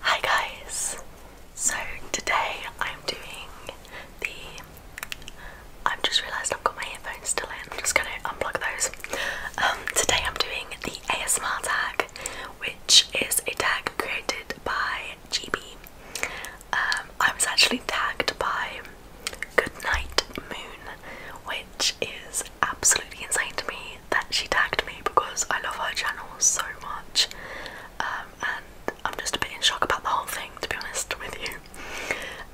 Hi guys! So today I'm doing the. I've just realised I've got my headphones still in, I'm just gonna unplug those. Um, today I'm doing the ASMR tag, which is a tag created by GB. Um, I was actually tagged by Goodnight Moon, which is absolutely insane to me that she tagged me because I love her channel so much, um, and I'm just a bit in shock about the whole thing, to be honest with you.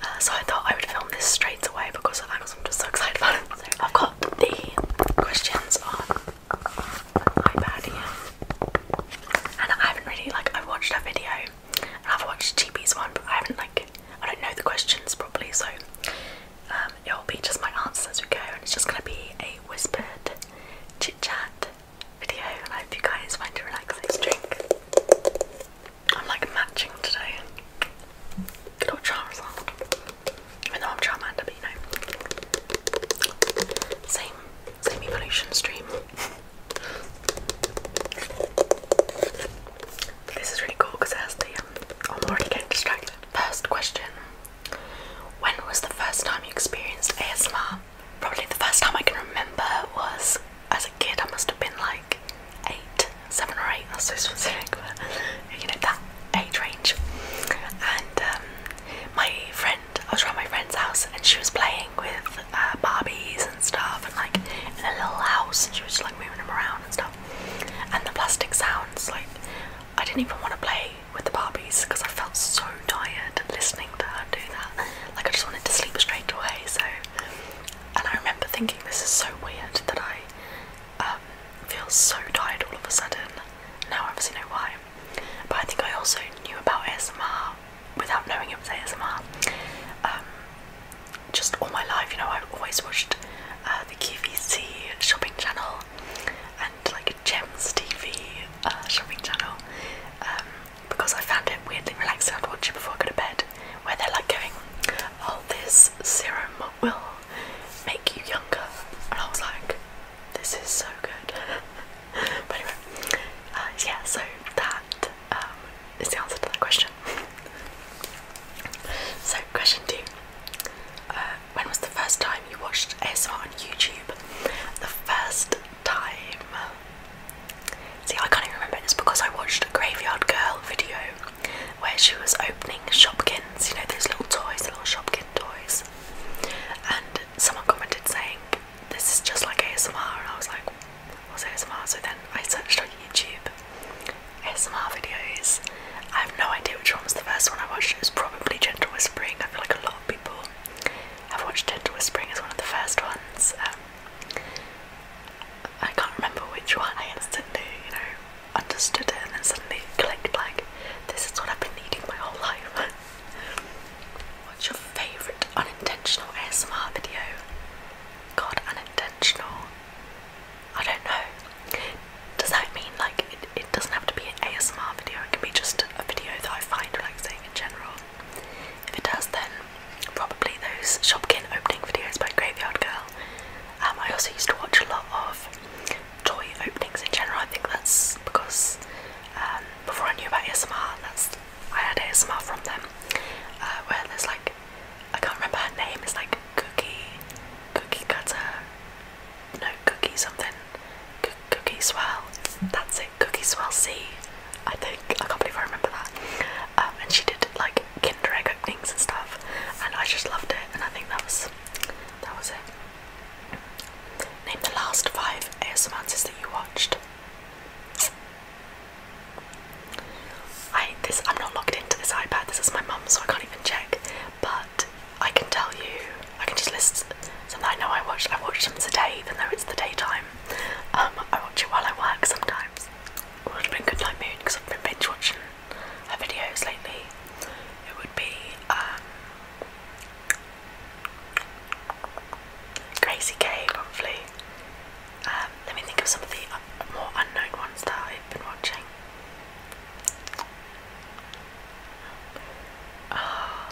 Uh, so I thought I would film this straight away because of that, I'm just so excited about it. So I've got the questions on my iPad here, and I haven't really like I've watched her video and I've watched Cheapy's one, but I haven't like I don't know the questions properly, so um, it'll be just my answers as we go, and it's just going to be a whispered chit chat video. And I hope you guys find it relaxing. let drink. I'm like matching today. Good old Charizard. Even though I'm Charmander, but you know. Same, same evolution stream. this is really cool because it has the. Um, oh, I'm already getting distracted. First question when was the first time you experienced ASMR? Probably the first time I can remember was as a kid. I must have been like eight, seven or eight. That's so specific, but you know that age range. And um, my friend, I was around my friend's house, and she was playing with uh, Barbies and stuff, and like in a little house, and she was just, like moving them around and stuff. And the plastic sounds, like I didn't even want to play with the Barbies because I felt so tired listening to her do that. Like I just wanted to sleep straight away. So, and I remember thinking this is so weird that I um, feel so tired all of a sudden. Now I obviously know why. But I think I also knew about ASMR without knowing it was ASMR. Um, just all my life, you know, I've always watched uh, the QVC shopping channel and like a Gems TV uh, shopping channel um, because I found it weirdly relaxing. I'd watch it before I go to bed, where they're like going, "Oh, this serum will make you younger," and I was like, "This is so good." but anyway, uh, yeah. So that um, is the answer to that question. so question two. Uh, when was the first time you watched ASMR on YouTube? The first time. See, I can't even remember. It's because I watched a Graveyard Girl video where she was opening Shopkins, you know, those little toys, the little Shopkin toys. And someone commented saying, This is just like ASMR. And I was like, What's ASMR? So then I searched on YouTube SMR videos. I have no idea which one was the first one I watched. It was probably Gentle Whispering. I feel like a lot of people have watched Gentle Whispering as one of the first ones. Um, I can't remember which one. I instantly, you know, understood it and then suddenly clicked like, this is what I've been needing my whole life. What's your favourite unintentional SMR video? God, unintentional. I don't know. Does that mean like it, doesn't have to be an ASMR video? It can be just a video that I find relaxing in general. If it does, then probably those Shopkin opening videos by Graveyard Girl. Um, I also used to watch a lot of toy openings in general. I think that's because um, before I knew about ASMR, that's I had ASMR from them, uh, where there's like I can't remember her name. It's like Cookie, Cookie Cutter, no Cookie something, Cookie Swell. That's it, Cookie Swell C. I think I can't believe I remember that. Um, and she did like Kinder Egg openings and stuff, and I just loved it. And I think that was that was it. Name the last five ASMRs that you watched. I this I'm not logged into this iPad. This is my mum's, so I can't even check. But I can tell you, I can just list something I know I watch. I watch them today, even though it's the daytime. Um, I watch it while I work sometimes. It would have been good night mood because I've been binge watching her videos lately. It would be um, Gracie K probably. Um, let me think of some of the uh, more unknown ones that I've been watching. Uh,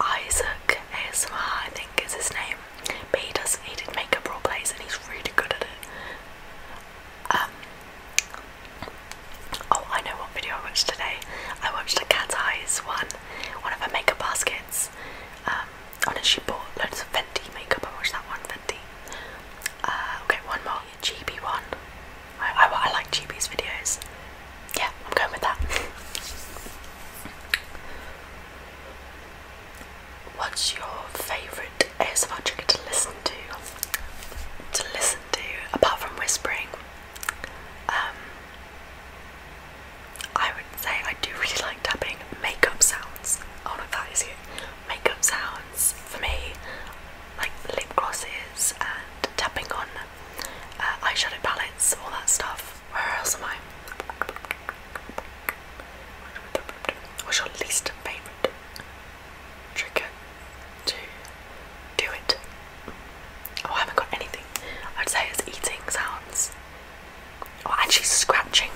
Isaac ASMR, I think is his name, but he does he did makeup role plays and he's really good at it. Um, oh, I know what video I watched today. I watched a cat eyes one, one of her makeup baskets. Um, Honestly, bought loads of Fenty makeup. I watched that one, Fenty. Uh, okay, one more. GB one. I, I, I like GB's videos. Yeah, I'm going with that. What's your favourite ASMR trigger to listen to? To listen to, apart from whispering, um, I say I do really like tapping makeup sounds. Oh no, that is it. Makeup sounds for me, like lip glosses and tapping on uh, eyeshadow palettes, all that stuff. Where else am I? What's your least favourite trick to do it? Oh, I haven't got anything. I'd say it's eating sounds or oh, actually scratching.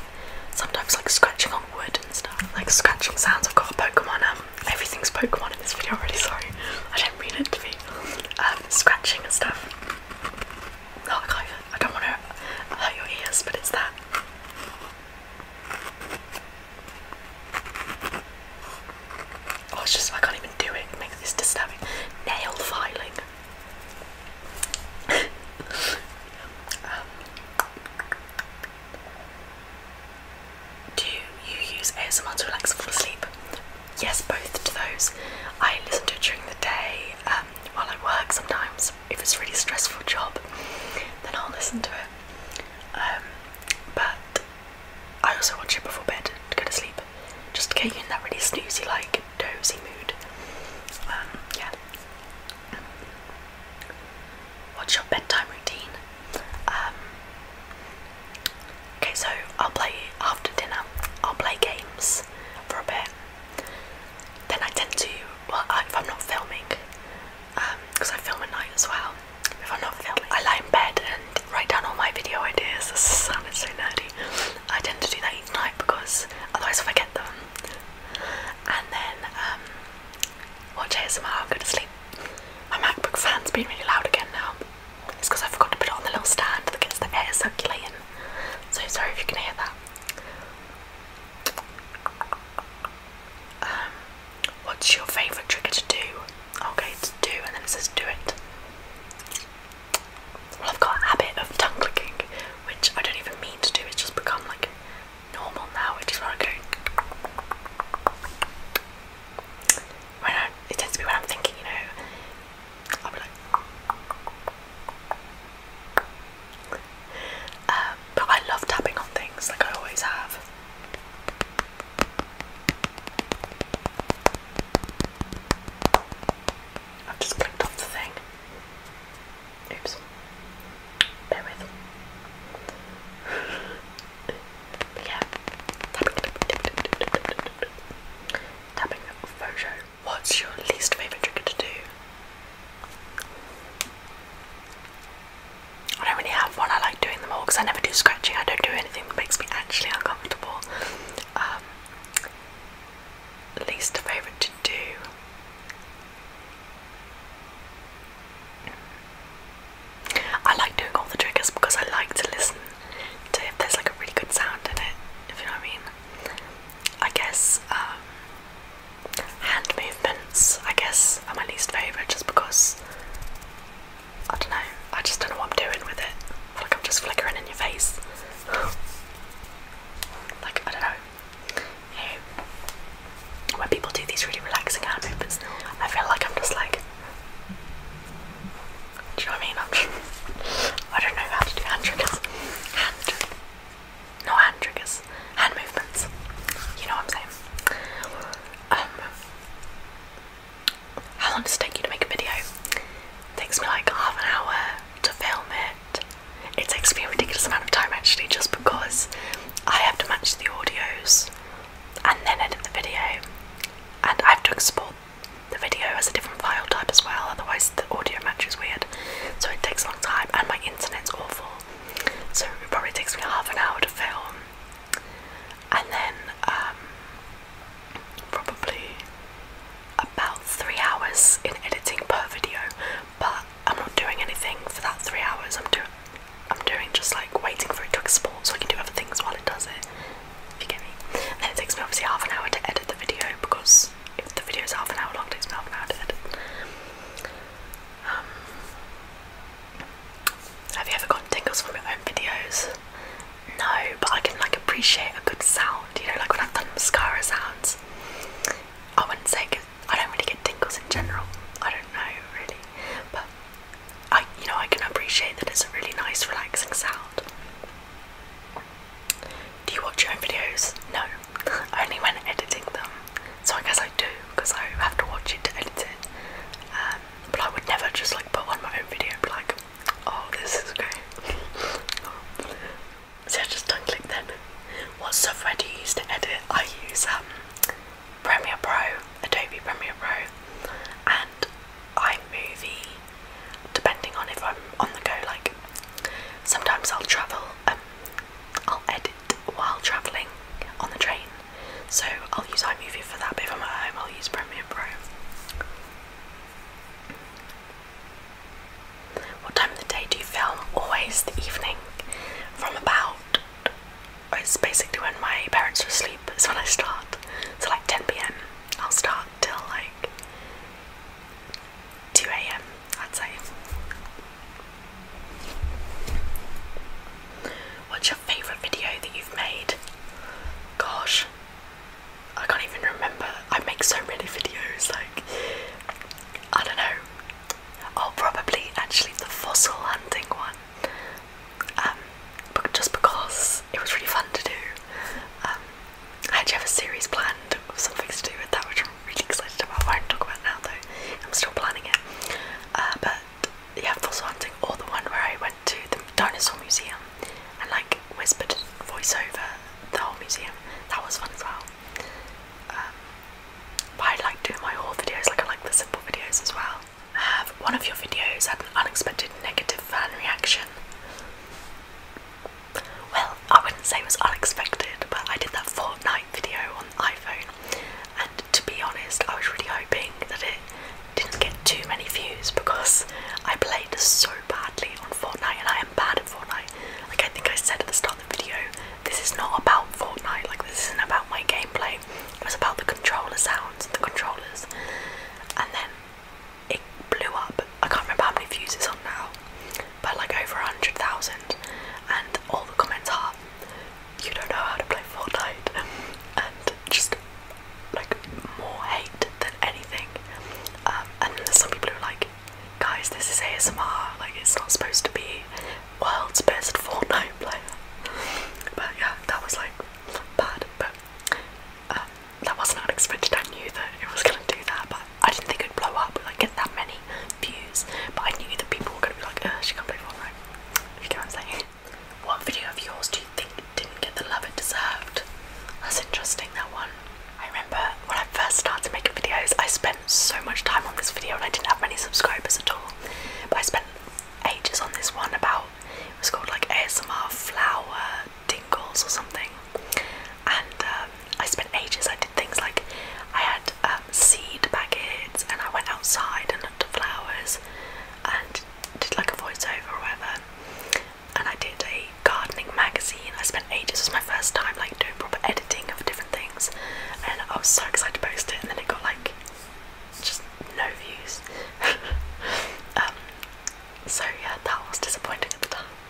Sometimes like scratching on wood and stuff, like scratching sounds. I've got a Pokemon. Um, everything's Pokemon in this video Really Sorry, I did not mean it to be um, scratching and stuff. Oh, I don't want to hurt your ears, but it's that. Oh, it's just I can't even do it. it this disturbing. Nail filing. Um, do you use ASMR to relax and fall asleep? Yes, both to those. I listen to it during the day um, while I work sometimes. If it's a really stressful job, then I'll listen to it. Um, but I also watch it before bed to go to sleep, just to get you in that really snoozy, like dozy mood. Um, yeah. What's your bedtime routine? Um, okay, so I'll play after dinner. I'll play games for a bit. Then I tend to, well, if I'm not filming, because um, I film at night as well. If I'm not filming, I lie in bed and write down all my video ideas. It's so nerdy. I tend to do that each night because otherwise, I forget them, and then um, watch ASMR go to sleep. My MacBook fan's been really loud again now. It's I forgot to put it on the little stand that gets the air circulating. So sorry if you can hear that. Um, what's your favourite trigger to do? Okay, to do, and then it says do it. I've got a habit of tongue clicking, which I don't even mean to do, it's just become like normal now, which where I go. When I, it tends to be when I'm thinking, you know, I'll be like. Um, but I love tapping on things like I always have. I've just clicked off the thing. Oops. Bear with. but yeah. Tapping photo. What's your least favourite trick to do? I don't really have one. I like doing them all because I never do scratching. I don't do anything that makes me actually uncomfortable. Um, least favourite to do. I like doing all the triggers because I like to listen to if there's like a really good sound in it, if you know what I mean. I guess um, hand movements, I guess, are my least favourite just because I don't know, I just don't know what I'm doing with it. I feel like I'm just flickering in your face. Like, I don't know. You when people do these really relaxing hand movements, I feel like I'm just like, do you know what I mean? i don't know how to do hand triggers. Hand, no hand triggers, hand movements. You know what I'm saying? Um, how long does it take you to make a video? takes me like half an hour, to film it. It takes me a ridiculous amount of time actually, just because I have to match the audios and then edit the video, and I have to export the video as a different file type as well, otherwise, the audio match is weird. So it takes a long time, and my internet's awful. So it probably takes me half an hour to film, and then um, probably about three hours in editing per video, but I'm not doing anything for that three hours. I'm doing I'm doing just like waiting for it to export so I can do other things while it does it. If you get me. And then it takes me obviously half an hour to edit the video because if the video is half an hour long, it takes me half an hour to edit. Um, have you ever gotten tingles from your own videos? No, but I can like appreciate a good sound, you know, like when I've done mascara sounds. I wouldn't say cause I don't really get tingles in general. I don't know really, but I, you know, I can appreciate that it's a really nice, relaxing sound. Do you watch your own videos? No, only when editing them. So I guess I do because I have to watch it to edit it. Um, but I would never just like put on my own video, but like Oh, this is great. oh. I just don't click them. What software do you use to edit? I use um, Premiere Pro, Adobe Premiere Pro, and iMovie, depending on if I'm on the go. Like, sometimes I'll travel, um, I'll edit while travelling on the train, so I'll use iMovie for that, but if I'm at home, I'll use Premiere Pro. What time of the day do you film? Always the evening. From about, it's basically when my parents are asleep, It's when I start. So, like 10 pm, I'll start till like 2 am, I'd say. What's your favourite video that you've made? Gosh, I can't even remember. I make so many videos, like, I don't know. I'll oh, probably actually the fossil hunting one. Um, but just because it was really fun to do. Um, I actually have a series planned of something to do with that, which I'm really excited about. I won't talk about now though. I'm still planning it. Uh, but yeah, fossil hunting, or the one where I went to the dinosaur museum and like whispered voiceover the whole museum. That was fun as well. Um, I like doing my haul videos, like I like the simple videos as well. Have um, one of your videos had an unexpected negative fan reaction? Well, I wouldn't say it was unexpected, but I did that Fortnite video on iPhone, and to be honest, I was really hoping that it didn't get too many views because I played so badly on Fortnite and I am bad at Fortnite. Like I think I said at the start of the video, this is not about Fortnite, like this isn't about my gameplay. It was about the controller sounds, and the controllers. And then it blew up. I can't remember how many views it's on now, but like over 100,000. And all the comments are, you don't know how to play Fortnite. And just like more hate than anything. Um, and then there's some people who are like, guys, this is ASMR. Like it's not supposed to be world's best Fortnite player. but yeah, that was like bad. But uh, that wasn't unexpected. I knew that it was gonna do that, but I didn't think it'd blow up. Like get that many views. But I knew that people were gonna be like, "Oh, she can't play Fortnite. If you can't i what video of yours do you think didn't get the love it deserved? That's interesting, that one. I remember when I first started making videos, I spent so much time on this video and I didn't have many subscribers at all. But I spent ages on this one about, it was called like ASMR Flower Dingles or something. And um, I spent ages, I did things like I had um, seed packets and I went outside and looked at flowers and did, did like a voiceover or whatever, and I did a gardening magazine. I spent ages. It was my first time like doing proper editing of different things, and I was so excited to post it. And then it got like just no views. um, so yeah, that was disappointing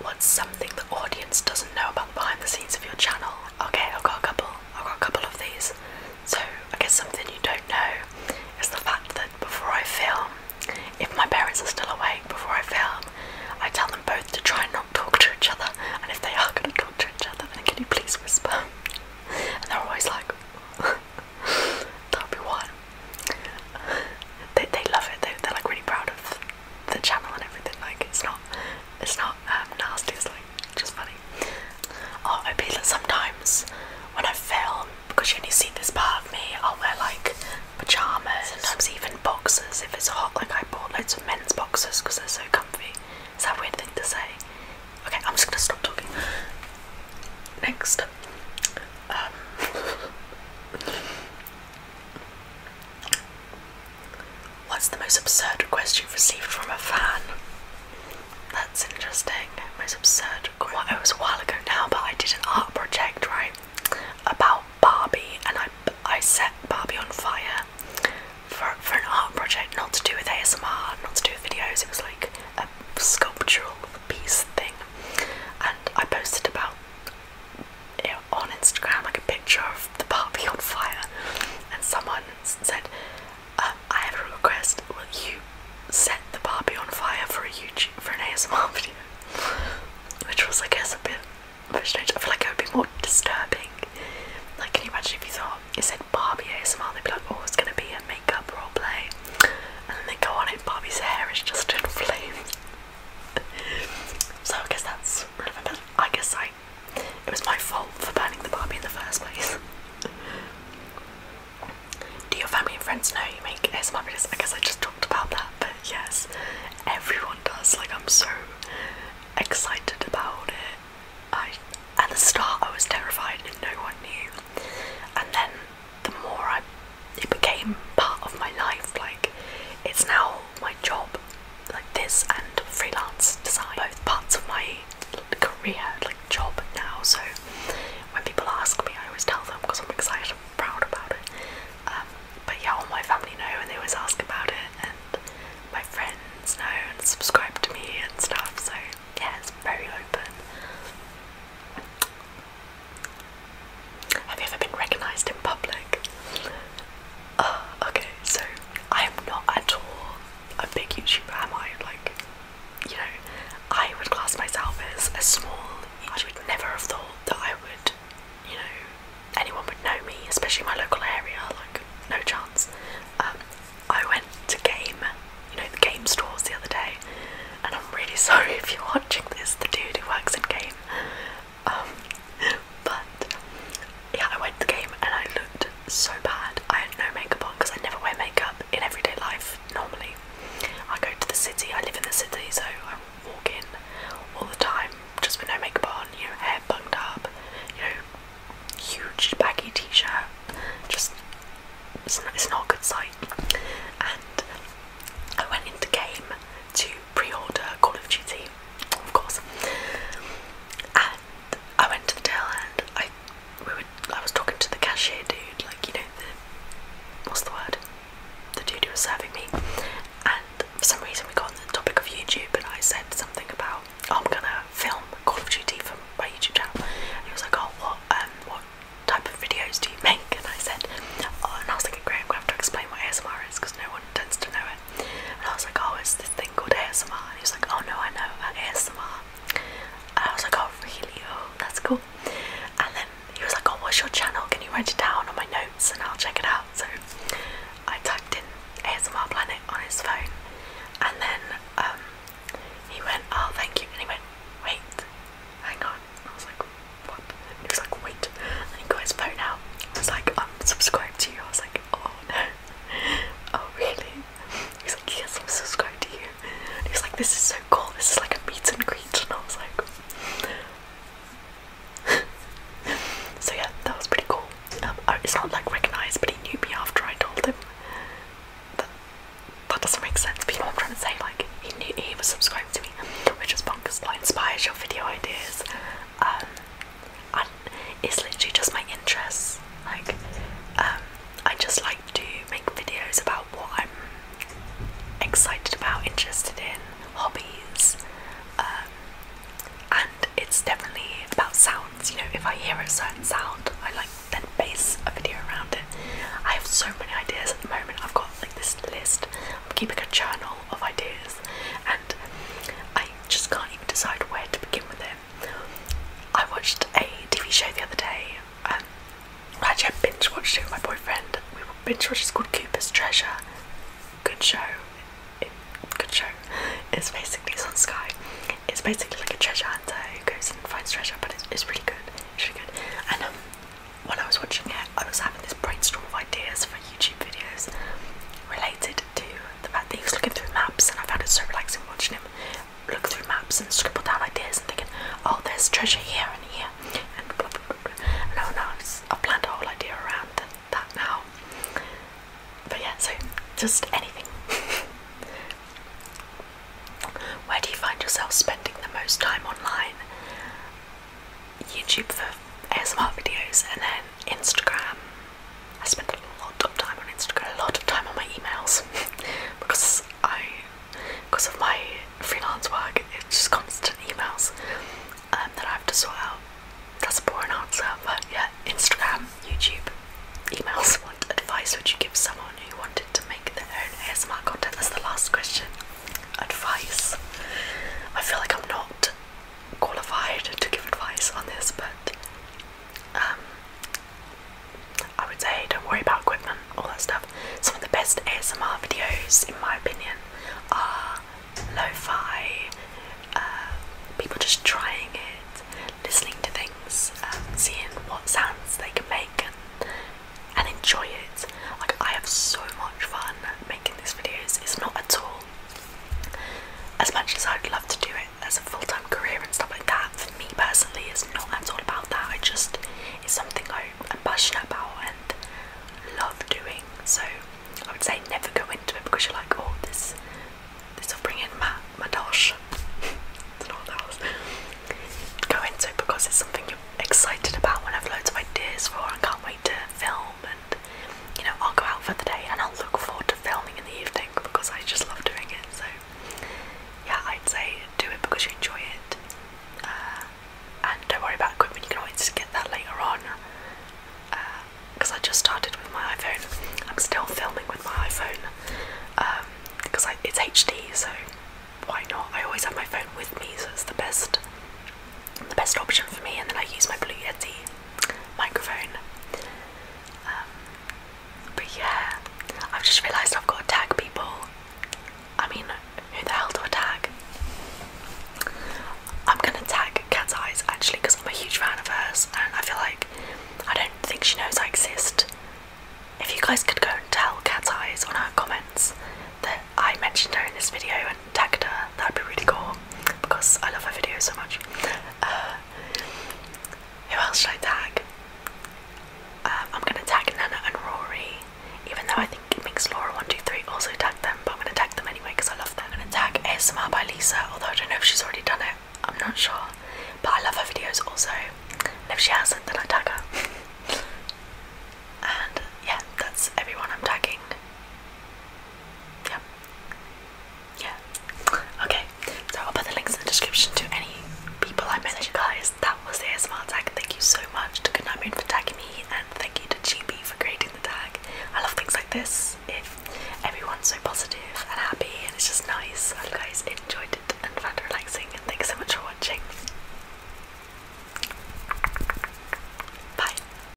What's something the audience doesn't know about the behind the scenes of your channel? Okay, I've got a couple. I've got a couple of these. So I guess something you don't know is the fact that before I film, if my parents are still awake before I film, I tell them both to try and not talk to each other. And if they are going to talk to each other, then can you please whisper? And they're always like, that'll be one. They, they love it. They, they're like really proud of the channel and everything. Like it's not, it's not um, nasty. It's like just funny. Or maybe like sometimes when I film, because you only see this part of me, I'll wear like pajamas, sometimes even boxes if it's hot. Like I bought loads of men's boxes because they're so comfy. Is that a weird thing to say? Okay, I'm just gonna stop talking. Next, um, what's the most absurd request you've received from a fan? That's interesting. It was absurd. it was a while ago now, but I did an art project, right, about Barbie, and I I set Barbie on fire for for an art project, not to do with ASMR, not to do with videos. It was like a sculptural piece thing, and I posted about it on Instagram, like a picture of the Barbie on fire, and someone said. Um, I have a request. Will you set the Barbie on fire for a YouTube for an ASMR video? Which was, I guess, a bit, strange. I feel like it would be more disturbing. Like, can you imagine if you thought it said Barbie ASMR? They'd be like, oh, it's gonna be a makeup role play," And then they go on it, Barbie's hair is just in flames. so I guess that's a bit. I guess I. It was my fault for burning the Barbie in the first place. Do your family and friends know you make ASMR videos? I guess I just talked about that, but yes, everyone does. Like, I'm so excited about it. I at the start I was terrified and no one knew, and then the more I, it became part of my life. Like, it's now my job. Like this and freelance design, both parts of my career job now, so when people ask me, I always tell them because I'm excited and proud about it. Um, but yeah, all my family know and they always ask about it, and my friends know and subscribe to me and stuff, so yeah, it's very open. Have you ever been recognised in public? Ah, okay, so I am not at all a big YouTuber, am I? Like, you know, I would class myself as a small. I would never have thought that I would, you know, anyone would know me, especially my local area. Like, no chance. Um, I went to game, you know, the game stores the other day, and I'm really sorry if you're watching this, the dude who works in game. Um, but yeah, I went to game and I looked so bad. I had no makeup on because I never wear makeup in everyday life normally. I go to the city, I live in the city, so I walk in all the time just with no makeup on, you know, hair bunged up, you know, huge baggy t shirt. Just, it's not, it's not a good sight. And I went into game to pre order Call of Duty, of course. And I went to the tail end. I we were, I was talking to the cashier dude, like you know what's the word? The dude who was serving me, and for some reason we got on the topic of YouTube, and I said something about oh, I'm gonna film Call of Duty for my YouTube channel, and he was like, oh what um what type of videos do you make? And I said, oh, and I was thinking, great, I'm gonna have to explain what ASMR is because no one tends to know it, and I was like, oh, it's this thing called ASMR, and he was like, oh no, I know about ASMR. And I was like, oh really? Oh, that's cool. And then he was like, oh, what's your channel? Can you write it down on my notes and I'll check it out? So I typed in ASMR Planet on his phone, and then um, he went, oh, thank you. And he went, wait, hang on. I was like, what? he was like, wait. And he got his phone out. I was like, I'm subscribed to you. I was like, oh no. oh really? He's like, yes, I'm subscribed to you. And he's like, this is so cool. This is like a meet and greet. And I was like, so yeah, that was pretty cool. Um, it's not like recognized, but he knew me after I told him. That that doesn't make sense. But you know what I'm trying to say? Like, he knew he was subscribed to me, which is bonkers. That inspires your video ideas. Um, it's literally just my interests. Like, um, I just like to make videos about what I'm excited about, interested in, hobbies, um, and it's definitely about sounds. You know, if I hear a certain sound, I like then base a video around it. I have so many ideas at the moment. I've got like this list. I'm keeping a journal of ideas, and I just can't even decide where to begin with it. I watched a TV show the other day. Um, actually, I binge watched it with my boyfriend. We binge watched. It's called Cooper's Treasure. Good show. good show. It's basically on Sky. It's basically like a treasure hunter who goes and finds treasure, but it's, really good. really good. And um, while I was watching it, I was having this brainstorm of ideas for YouTube videos, related to the fact that he was looking through maps, and I found it so relaxing watching him look through maps and scribble down ideas and thinking, oh, there's treasure here and here, and blah blah blah. blah. No, no, I've planned a whole idea around that, that now. But yeah, so just anything. Where do you find yourself spending the most time online? YouTube for ASMR videos, and then Instagram. I spend a lot of time on Instagram, a lot of time on my emails because I, because of my freelance work, it's just constant emails um, that I have to sort out. That's a boring answer, but yeah, Instagram, YouTube, emails. What advice would you give someone who wanted to make their own ASMR content? That's the last question. Advice. I feel like I'm not qualified to give advice on this, but um, I would say don't worry about equipment, all that stuff. Some of the best ASMR videos, in my opinion, are lo-fi, uh, people just trying it, listening to things, um, seeing what sounds they can make and, and enjoy it. Like I have so much fun making these videos. It's not at all as much as I'd love to do it as a full-time career and stuff like that, for me personally, it's not That's all about that. It just it's something I'm passionate about and love doing. So I would say never go into it because you're like, oh, this this will bring in my my dosh. Go into it because it's something you're excited about and have loads of ideas for and can't wait to film you know I'll go out for the day and I'll look forward to filming in the evening because I just love doing it. So yeah, I'd say do it because you enjoy it, uh, and don't worry about equipment. You can always get that later on. Because uh, I just started with my iPhone, I'm still filming with my iPhone because um, it's HD, so why not? I always have my phone with me, so it's the best, the best option for me. And then I use my Blue Yeti microphone. Um, but yeah, I've just realised I've got to tag people. I mean, who the hell do I tag? I'm gonna tag Cat's Eyes actually because I'm a huge fan of hers and I feel like I don't think she knows I exist. If you guys could go and tell Cat's Eyes on her comments that I mentioned her in this video tagged her, that'd be really cool because I love her videos so much. Uh, who else should I tag? Um, I'm gonna tag Nana and Rory, even though I think it Laura one two three also tag them, but I'm gonna tag them anyway because I love them. I'm gonna tag ASMR by Lisa, although I don't know if she's already done it. I'm not sure, but I love her videos also. if she hasn't, then I tag her. and yeah, that's everyone I'm tagging. Yep. Yeah. Okay. So I'll put the links in the description to any people I mentioned, guys. That was the smart tag. Thank you so much to Goodnight Moon for tagging me, and thank you to GB for creating the tag. I love things like this. If everyone's so positive and happy, and it's just nice. I hope you guys enjoyed it and found it relaxing. And thanks so much for watching. Bye.